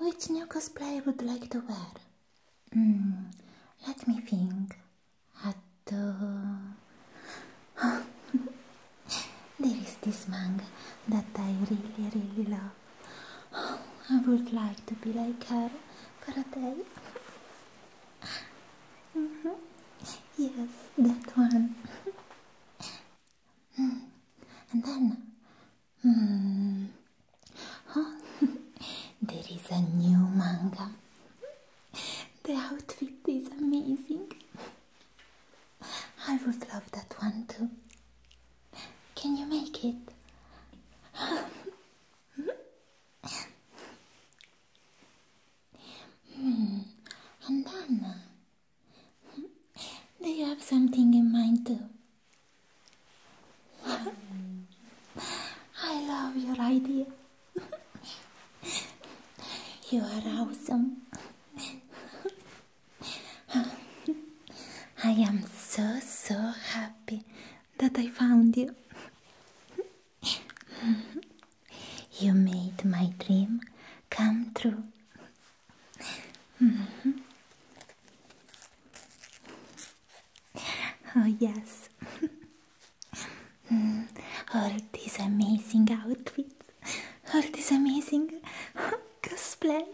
which new gosplay would like to wear mm, let me think at there is this mong that i really really love i would like to be like her for a day mm-hmm. yes that one mm. and then Hmm. there is a new manga. The outfit is amazing. I would love that one too. Can you make it? Hmm. And then they have something in mind too? I love your idea. you are awesome. I am so, so happy that I found you. you made my dream come true. Mm-hmm. oh, yes. All these amazing outfits. All these amazing cosplay.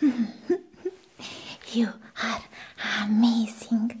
you are amazing.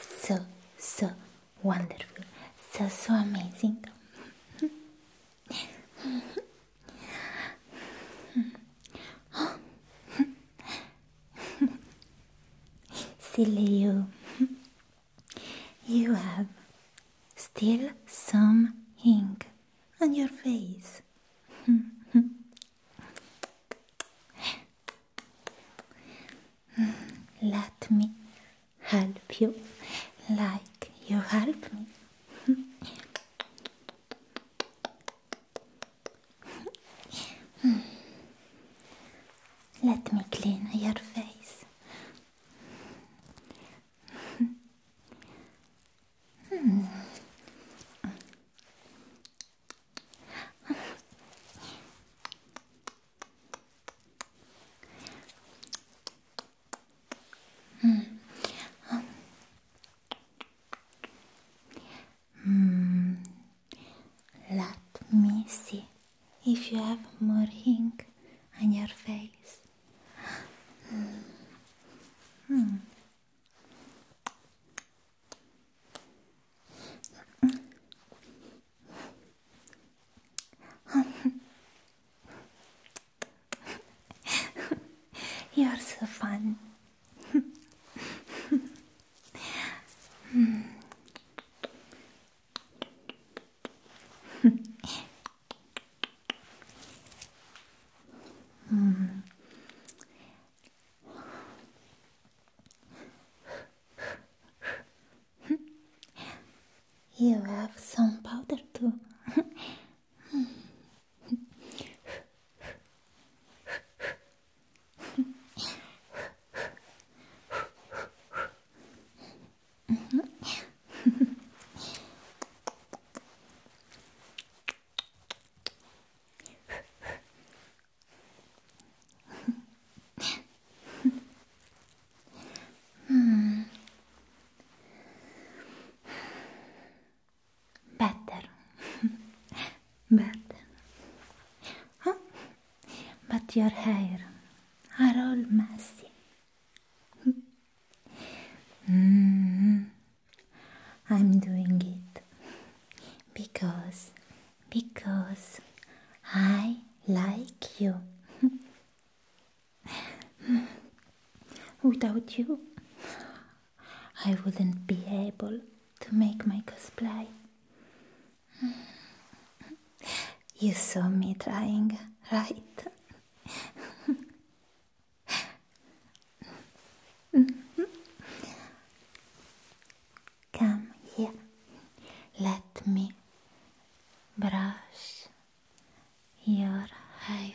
So, so wonderful, so, so amazing. Silly you, you have still some ink on your face. Mm-hmm. Let me help you like you help me. Mm-hmm. Mm-hmm. Let me clean your face. Hmm. Let me see if you have more ink on your face. Hmm. Hmm. You're so fun you have some powder too hmm. Better, better. Huh? But your hair are all messy. mm. Mm-hmm. I'm doing it because because I like you. Without you, I wouldn't be able to make my cosplay. You saw me trying, right? Come here. Let me brush your hair.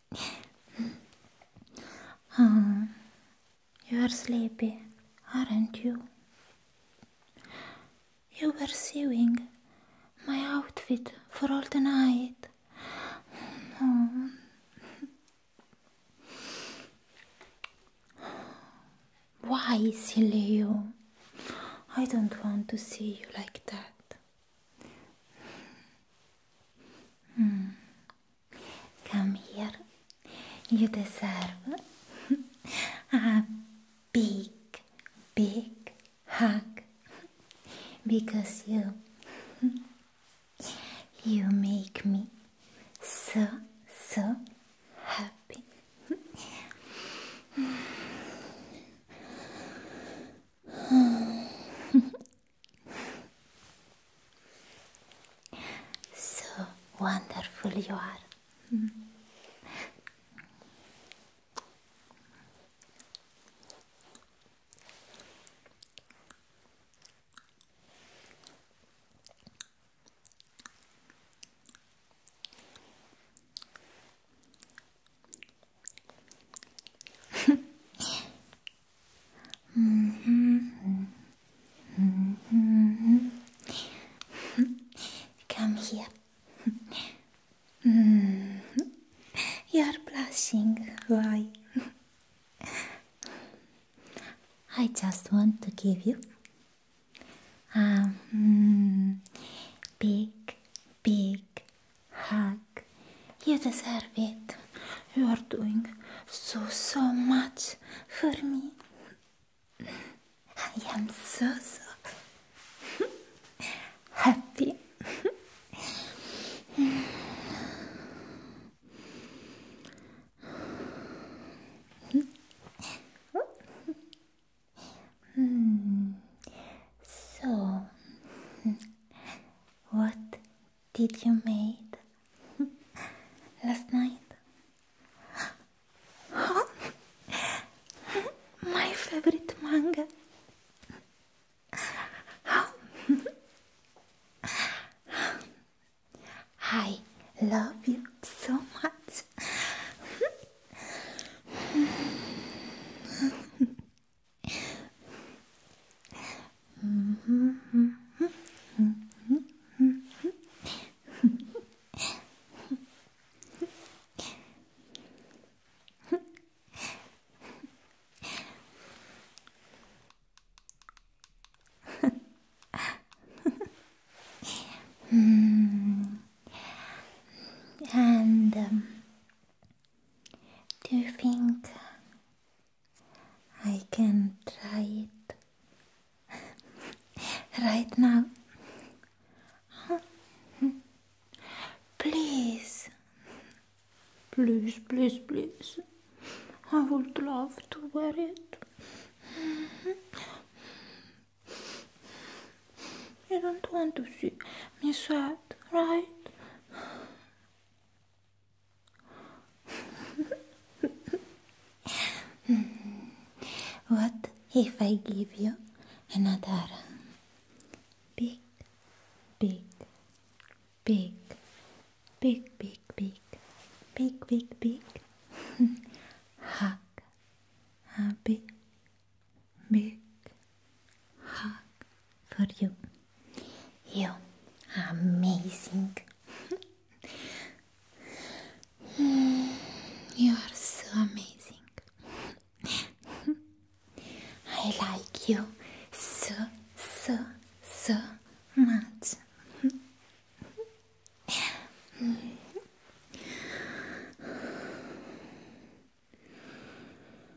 you are sleepy, aren't you? You were sewing my outfit for all the night. Oh. Why, silly you? I don't want to see you like that. Hmm. Come here. You deserve a big, big hug because you you make me so so happy. So wonderful you are. Mm-hmm. Mm-hmm. Mm-hmm. Come here. You're blushing. Why? I just want to give you a mm, big, big hug. You deserve it. You are doing so, so much for me. I am so, so happy. Hmm. so, what did you made last night? my favorite manga. I love you so much. mm. And um, do you think I can try it right now. Please, please, please, please. I would love to wear it. You don't want to see me sad, right? what if I give you another big, big, big, big, big, big, big, big, big hug? A big, big hug for you. You are amazing. you are so amazing. I like you so, so, so much.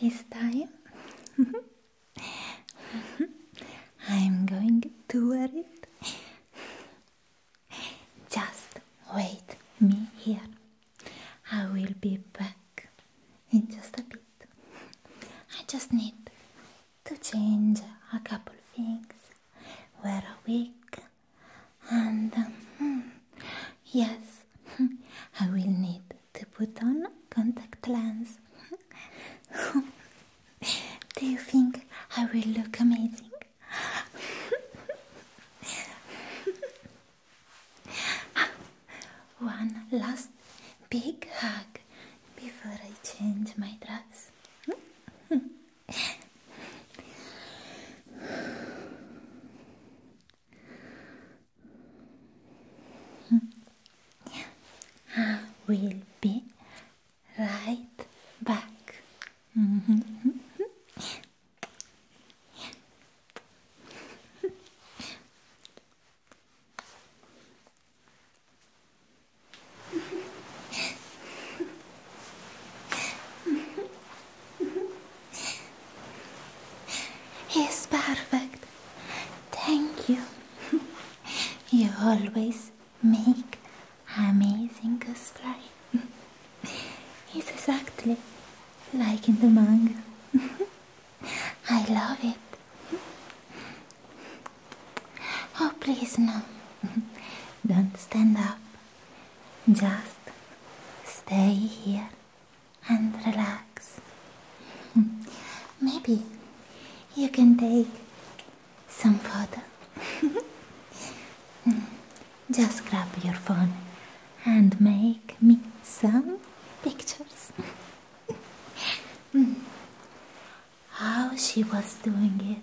it's time. I'm going to wear it. Just wait me here. I will be back in just a bit. I just need to change a couple things. Wear a wig and um, hmm, yes, I will need to put on contact lens. Do you think I will look amazing? One last big hug before I change my dress. I hmm. will be right back. He's perfect. Thank you. you always make amazing cosplay. It's exactly like in the manga. I love it. Oh, please, no. Don't stand up. Just stay here and relax. Maybe you can take some photo. Just grab your phone and make me some pictures. How she was doing it.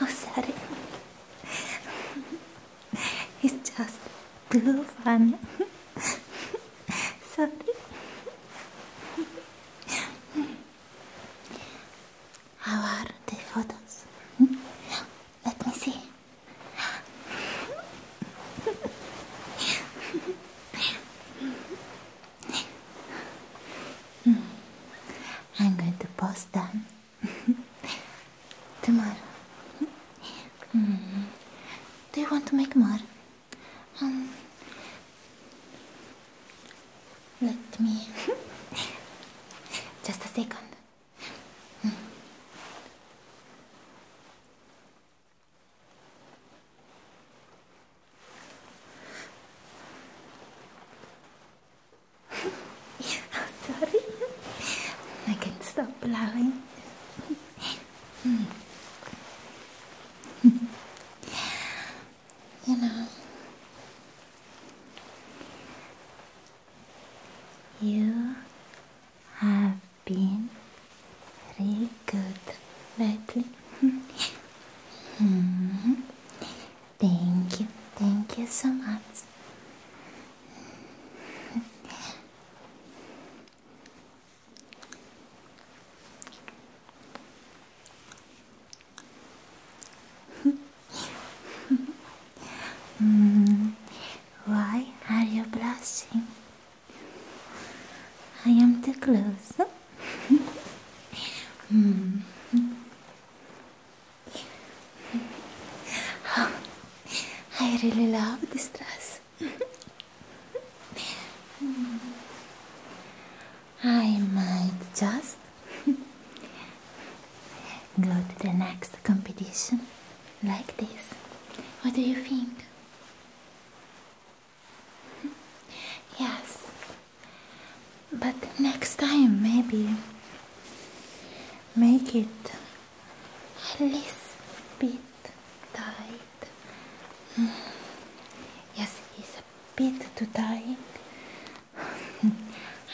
oh, sorry. it's just too fun. sorry. How are the photos? Let me see. Hmm. I'm going to post them tomorrow. Hmm. Do you want to make more? Um, let me. Just a second. Hmm sorry, I can't stop blowing. you know, you have been Really good. Lovely. Mm-hmm. Thank you. Thank you so much. Mm-hmm. Why are you blushing? I am too close. Hmm. I really love this dress. I might just go to the next competition like this. What do you think? Yes. But next time, maybe make it a little bit tight. Mm. Yes, it's a bit too tight.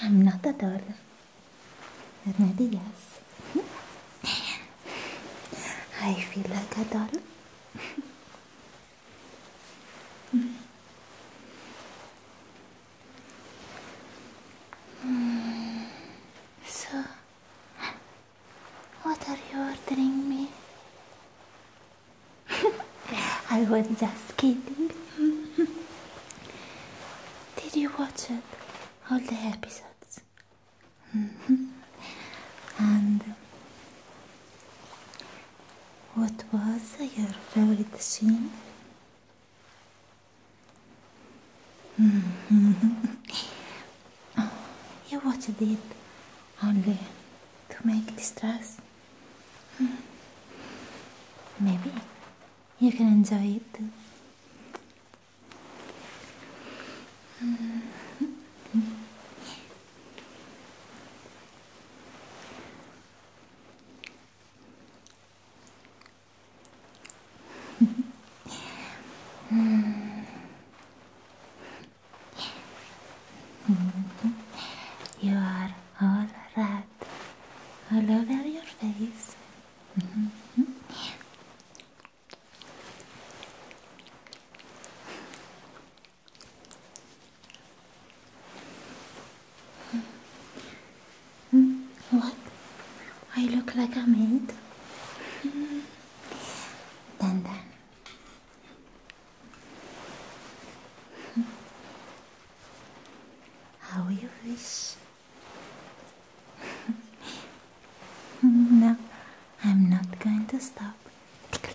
I'm not a doll. Maybe yes. I feel like a doll. So, what are you ordering me? I was just kidding. Did you watch it? All the episodes? Mm-hmm. And what was your favorite scene? you watched it only to make this dress. Mm-hmm. Maybe you can enjoy it too. Mm-hmm. you are all red all over your face. Mm-hmm. Hmm. Hmm. What? I look like a maid? Hmm. Then, then. How you wish? no, I'm not going to stop.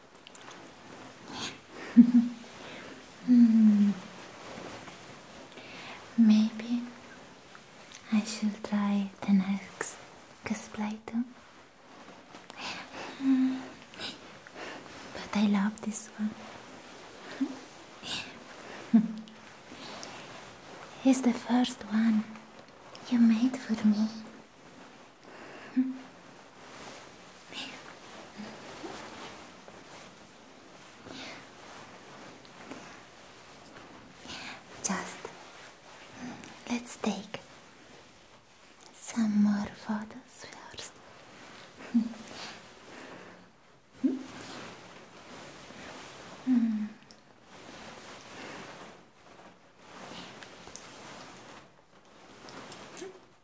Maybe I shall try the next cosplay too. But I love this one. it's the first one you made for me. Just let's take some more photos first. mm.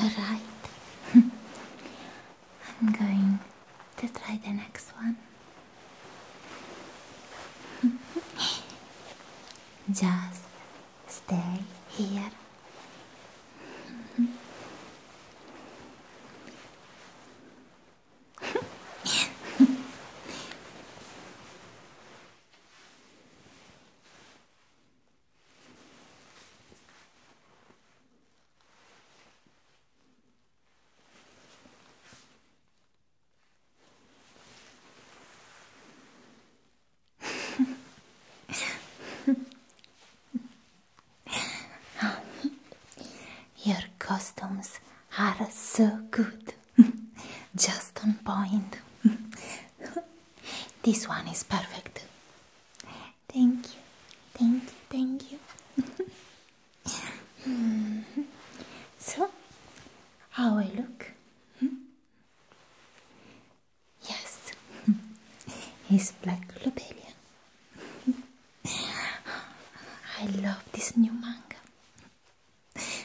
Alright, I'm going to try the next one. Just Stay here. Your costumes are so good, just on point. this one is perfect. Thank you, thank you, thank you. so, how I look? Hmm? Yes, it's black lobelia. I love this new manga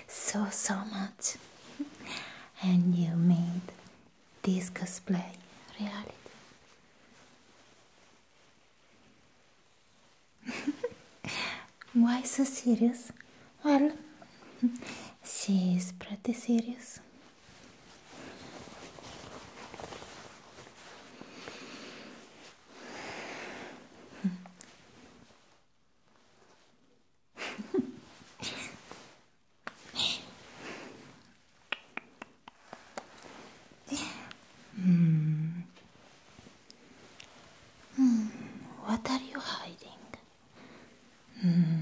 so so much, and you made discuss play reality. Why so serious? Well, she is pretty serious hmm. Hmm. What are you hiding? Hmm.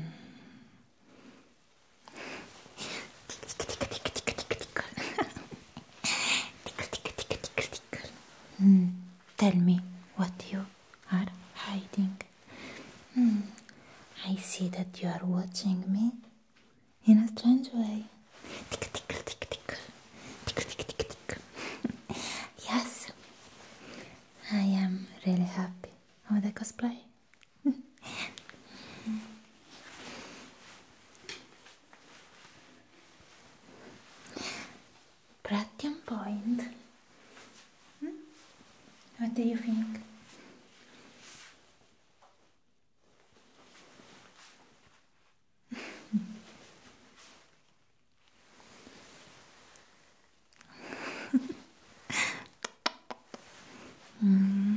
Mm, tell me what you are hiding. Hmm. I see that you are watching me in a strange way. Tick, tick, tick, tick. Tick, tick, tick, tick. yes, I am really happy with the cosplay. Pratium point. Hmm? What do you think? Hmm.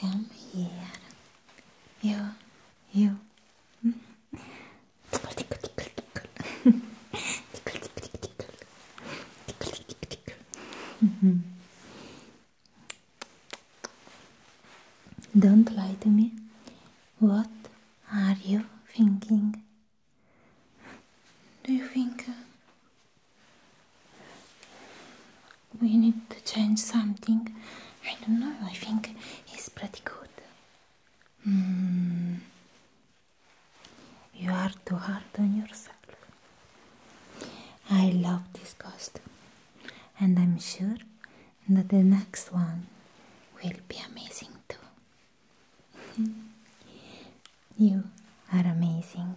Come here, you, you. Hmm? tickle, tickle, tickle, tickle. tickle, tickle, tickle. Tickle, tickle, Don't lie to me. What are you thinking? Do you think uh, we need to change something? I don't know, I think it's pretty good. Hmm. You are too hard on yourself. I love this costume, and I'm sure that the next one will be amazing too. you are amazing.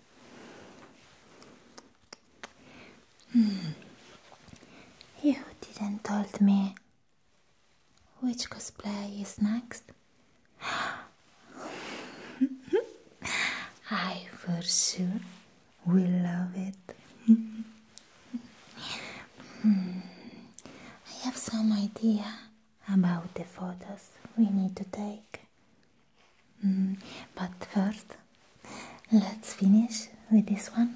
Hmm. You didn't told me which cosplay is next. I for sure will love it. Hmm. I have some idea about the photos we need to take. Mm, but first, let's finish with this one.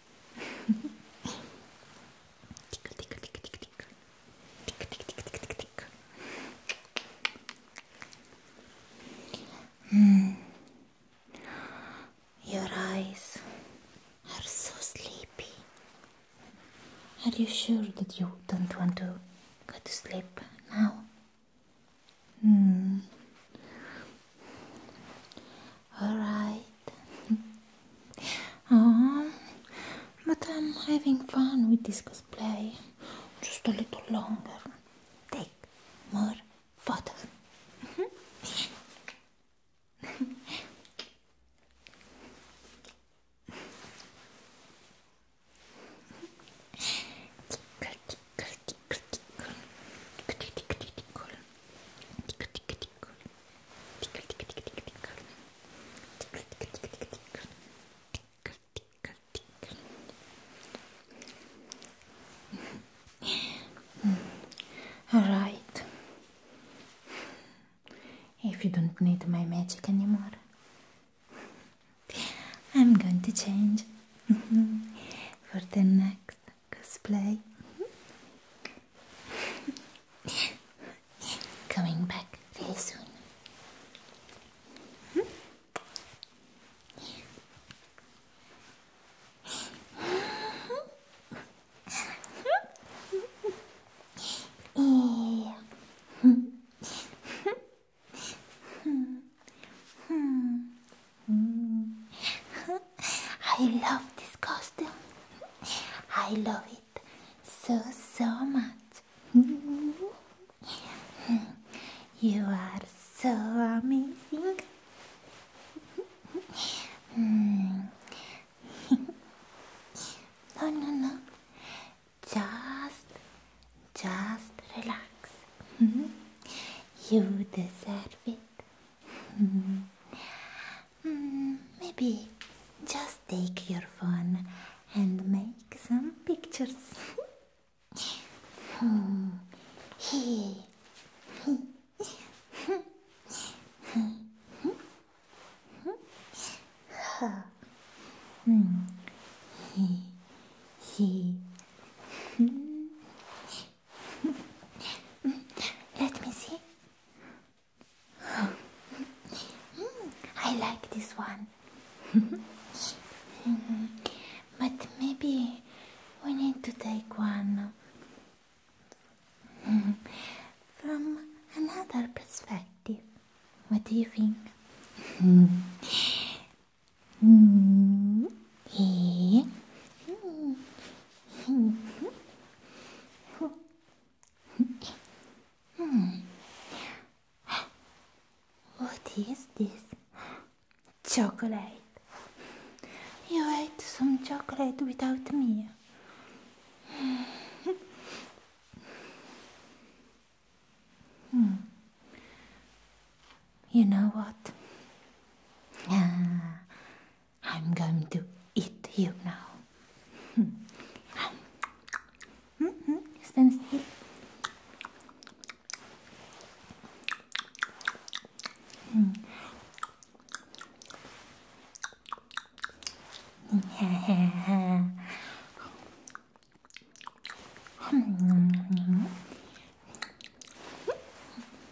tickle, tickle, tickle, tickle, tickle. Tickle, tickle, tickle, tickle, tickle. Mm. Your eyes are so sleepy. Are you sure that you don't want to go to sleep now? Mm. Alright. oh, but I'm having fun with this cosplay. Just a little longer. Take more photos. Alright. If you don't need my magic anymore, I'm going to change for the next cosplay. Coming back very soon. yeah. Hmm. Hmm. I love this costume. I love it so, so much. You are so amazing. No, no, no. Just, just relax. You deserve it. Mm, mm, maybe just take your phone and make some pictures. Let me see. I like this one. but maybe we need to take one from another perspective. What do you think? Hmm. Hmm. Hmm. Hmm. Hmm. What is this? Chocolate. You ate some chocolate without me. Hmm. You know what? Ah, I'm going to eat you now. mm -hmm. Stand still. Hmm. Hmm.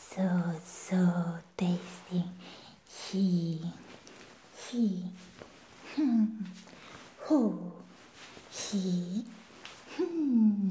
so so tasty. He he hmm. he hmm.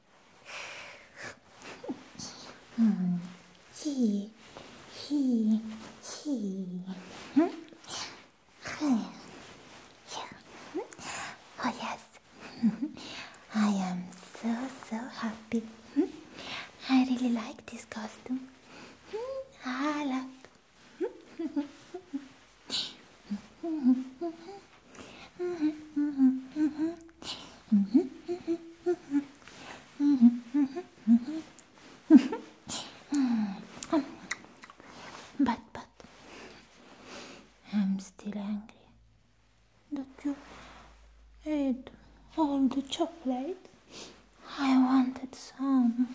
hmm. He, he, he. Hmm? Yeah. Yeah. Oh yes, I am so so happy. I really like this costume. I love but, but, I'm still angry that you eat all the chocolate. I wanted some.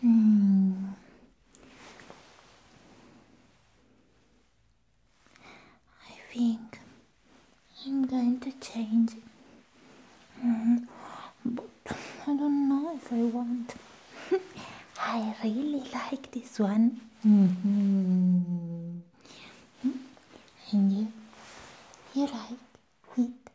Hmm. I think I'm going to change it. Hmm. but I don't know if I want. I really like this one. -hmm. hmm. And you, you like it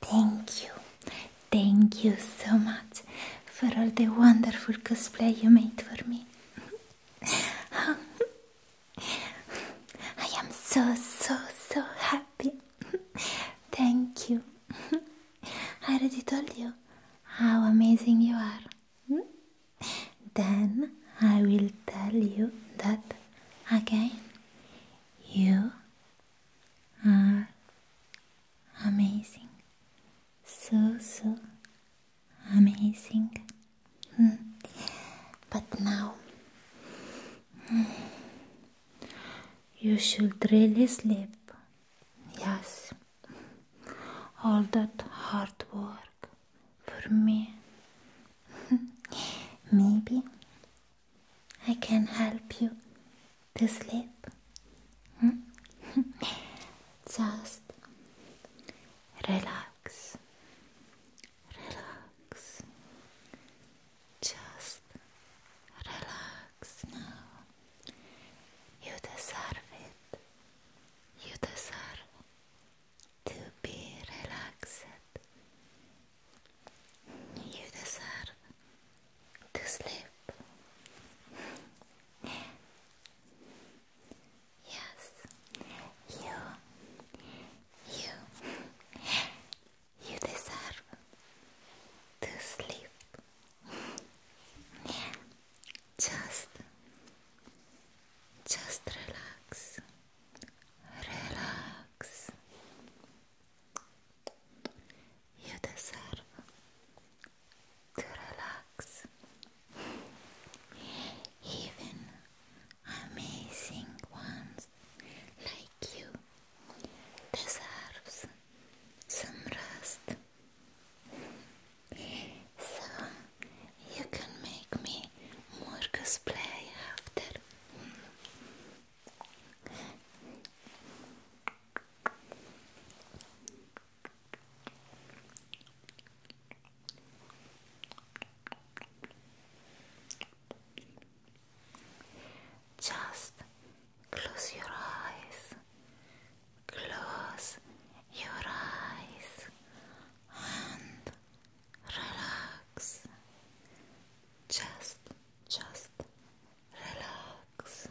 Thank you. Thank you so much for all the wonderful cosplay you made for me. I am so, so, so happy. Thank you. I already told you how amazing you are. Then I will tell you that again. You are amazing. So, so amazing. Hmm. but now hmm, you should really sleep. Yes, all that hard work for me. Maybe I can help you to sleep. Hmm? Just relax, relax, just relax now. You deserve it, you deserve to be relaxed. You deserve to sleep. yes, you, you, you deserve to sleep. Just, just relax, relax, you deserve to relax. Even amazing ones like you deserves some rest. So you can make me more cosplay after. Just close your eyes. Close your eyes and relax. Just, just relax. Relax.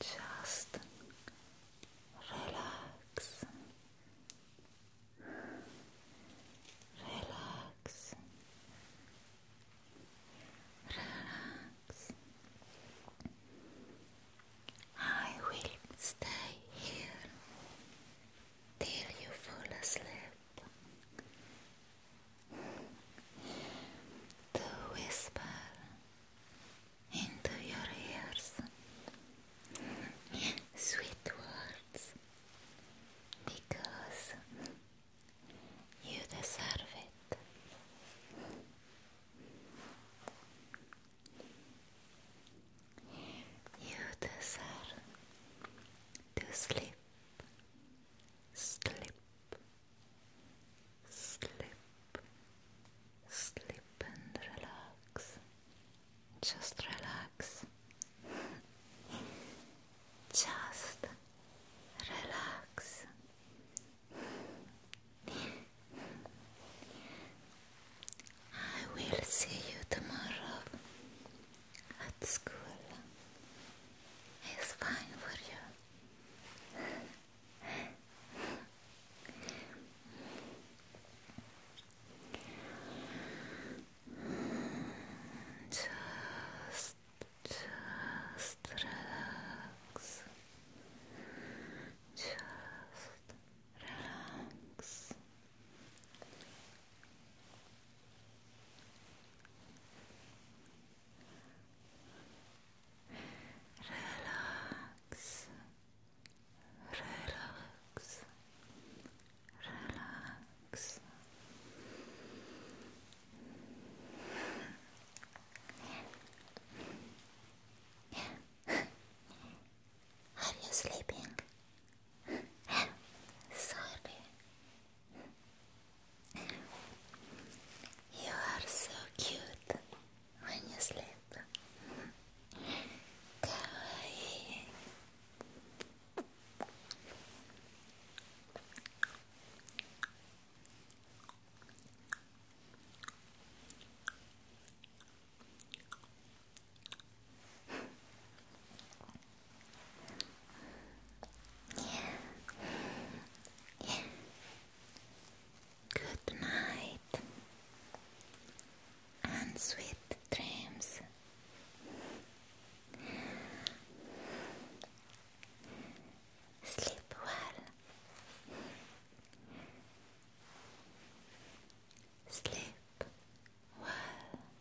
Just relax. Relax. Relax. I will stay here till you fall asleep to whisper into your ears sweet words because you deserve it. You deserve to sleep slip, slip, slip and relax. Just relax. Just relax. I will see you tomorrow at school it's fine for you. Just, just relax. Just relax. Relax, relax, relax. Are you sleeping? Sorry. You are so cute when you sleep. Kawaii. Good night and sweet dreams. Sleep well. Sleep well.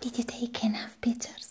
Did you take enough pictures?